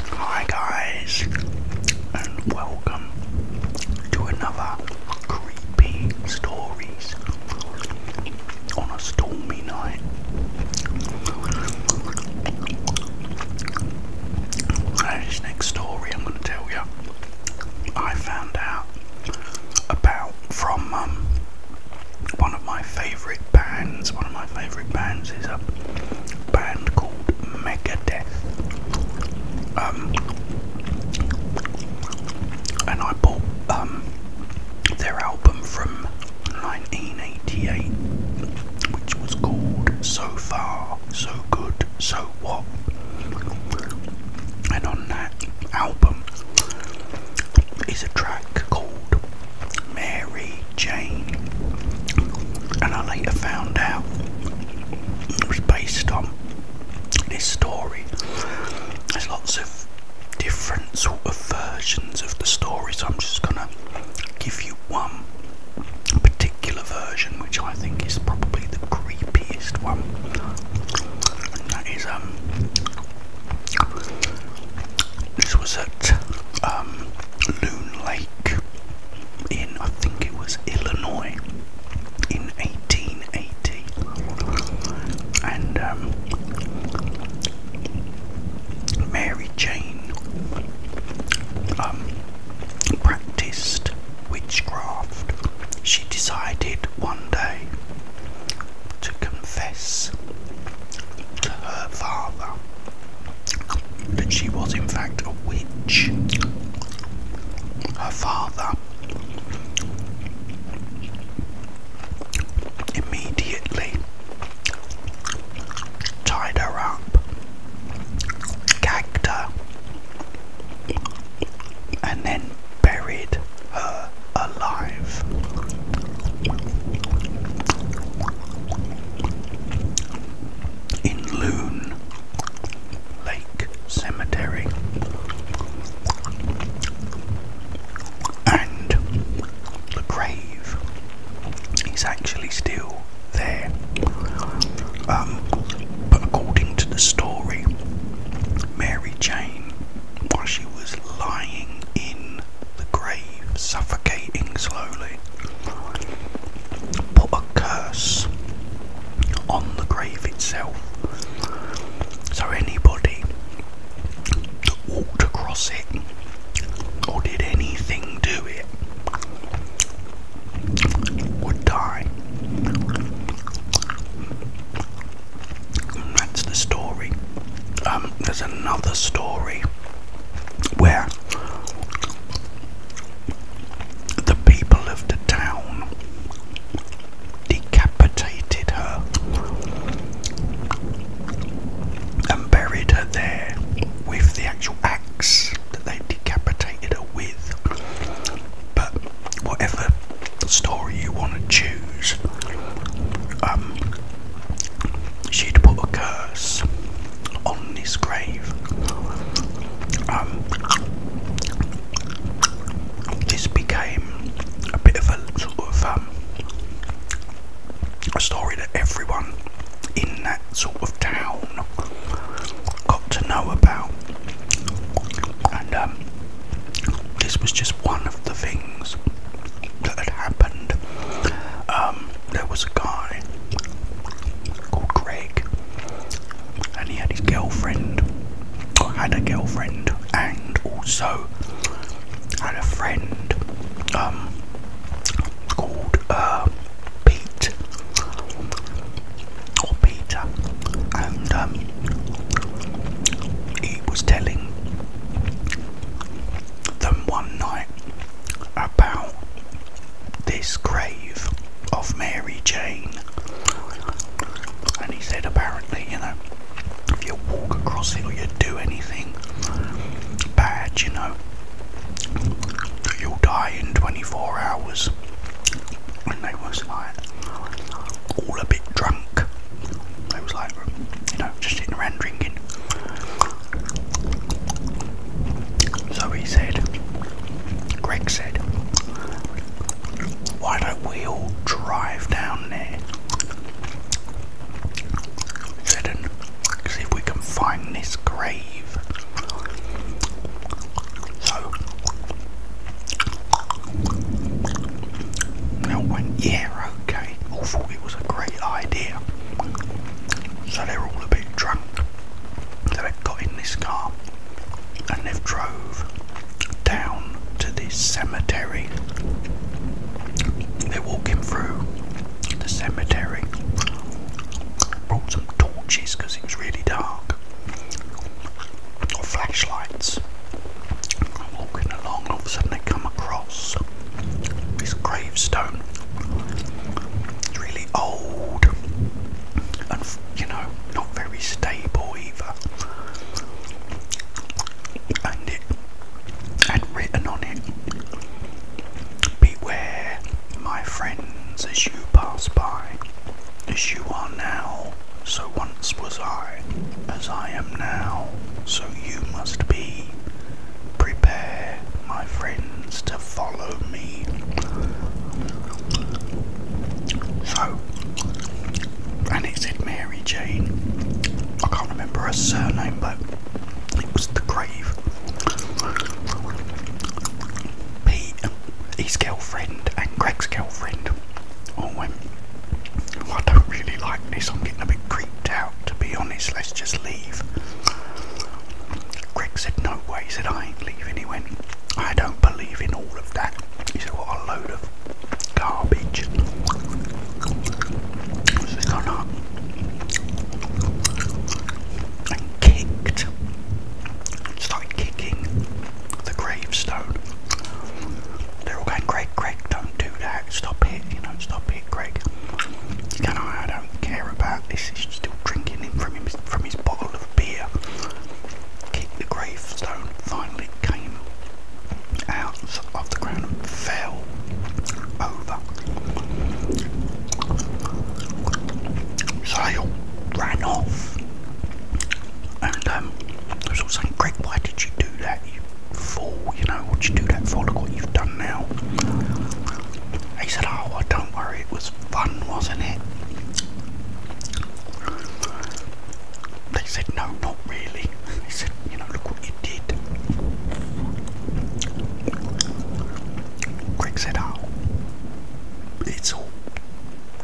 Hi guys, and welcome to another creepy stories on a stormy night. this next story I'm going to tell you, I found out about from um, one of my favourite bands. One of my favourite bands is a uh, band called Megadeth. Um, and I bought um, their album from 1988, which was called So Far, So Good, So What. And on that album is a track called Mary Jane, and I later found out it was based on this story. There's lots of different sort of versions of the story, so I'm just gonna give you one particular version, which I think is probably the creepiest one, and that is um this was at um, Loon Lake in, I think it was Illinois in 1880. And um, Mary Jane um, practiced witchcraft. She decided one day to confess to her father that she was in fact a witch. Her father immediately tied her up, gagged her, and then buried her alive in Loon Lake Cemetery and the grave is actually still there. Um, but according to the story, Mary Jane while she was lying in the grave, suffocating slowly, put a curse on the grave itself. So anybody that walked across it or did anything to it would die. That's the story. Um, there's another story where the people of the town decapitated her and buried her there with the actual axe that they decapitated her with. But whatever story you want to choose, um, she'd put a curse on his grave. Um, this became a bit of a sort of um, a story that everyone in that sort of town got to know about and um, this was just one of the things that had happened. Um, there was a guy called Greg, and he had his girlfriend, had a girlfriend, and also had a friend um, called uh, Pete and um, he was telling them one night about this grave of Mary Jane, and he said apparently, you know, if you walk across it or you do anything bad, you know, you'll die in 24 hours and they was like all a bit drunk. They was like, you know, just sitting around drinking. So he said, Greg said, why don't we all drive down there? He said, see if we can find this grave. So they all yeah, okay. All thought it was a great idea. So they're all a bit drunk. they've got in this car and they've drove down to the cemetery. They're walking through the cemetery. Brought some torches because it was really dark flashlights I'm walking along all of a sudden I come across this gravestone it's really old and you know not very stable either and it had written on it Beware, my friends, as you pass by, as you are now, so once was I, as I am now, so you must be. Prepare, my friends, to follow me. So, and it said Mary Jane. I can't remember her surname, but it was the grave Pete, his girlfriend, and Greg's girlfriend oh, I don't really like this, I'm getting a bit creeped out, to be honest, let's just leave. Greg said, No way, he said, I ain't leaving. He went, I don't believe in all of that. He said, What a load of garbage kicked, started kicking the gravestone. They're all going, Greg, Greg, don't do that, stop it, you know, stop it, Greg. And I, I don't care about this, he's still drinking from, him from his bottle of beer. Kick the gravestone, finally came out of the ground and fell so they ran off. And um, I was all saying, Greg, why did you do that? You fool, you know, what'd you do that for? what you've done now. He said, Oh, well, don't worry, it was fun, wasn't it? They said, No, not really. They said, You know, look indeed. Greg said, "Oh, it's all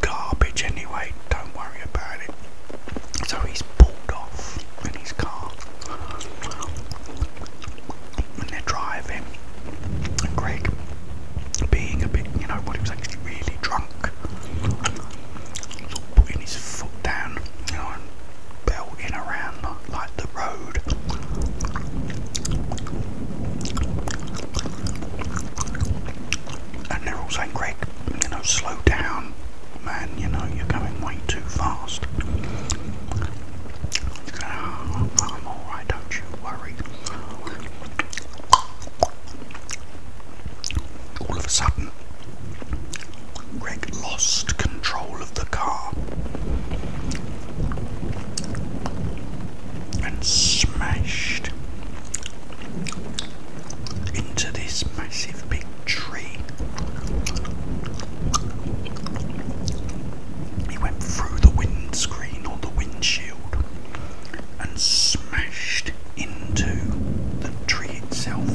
garbage anyway. Don't worry about it." So he's pulled off in his car, and they're driving. And Greg, being a bit, you know, what he was actually really drunk, sort of putting his foot down, belting around like the road. And they're all saying, Greg, you know, slow down, man, you know, you're going way too fast. Ah, I'm alright, don't you worry. All of a sudden, Greg lost control of the car and smashed into this massive big tree. He went through the windscreen or the windshield and smashed into the tree itself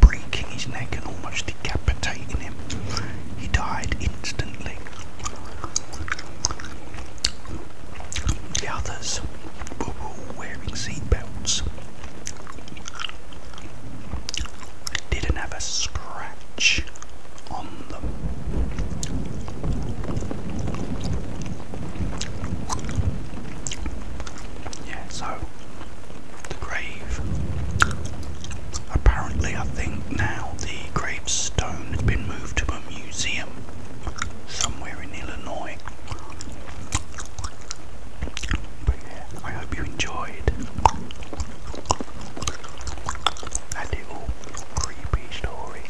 breaking his neck and almost decapitating him. He died instantly. The others were all wearing Didn't have a scratch on them. Yeah, so the grave. Apparently, I think now the gravestone has been moved to a museum somewhere in Illinois. But yeah, I hope you enjoyed. That little creepy story.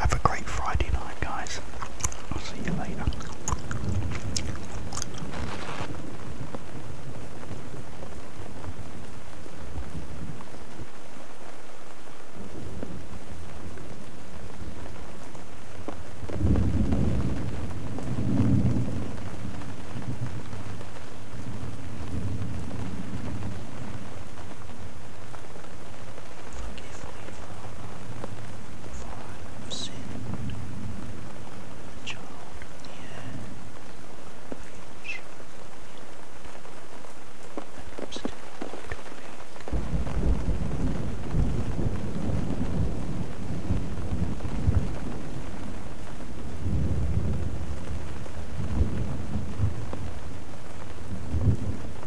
Have a great Friday night guys, I'll see you later forgive me for I have sinned. The child the air feels and I'm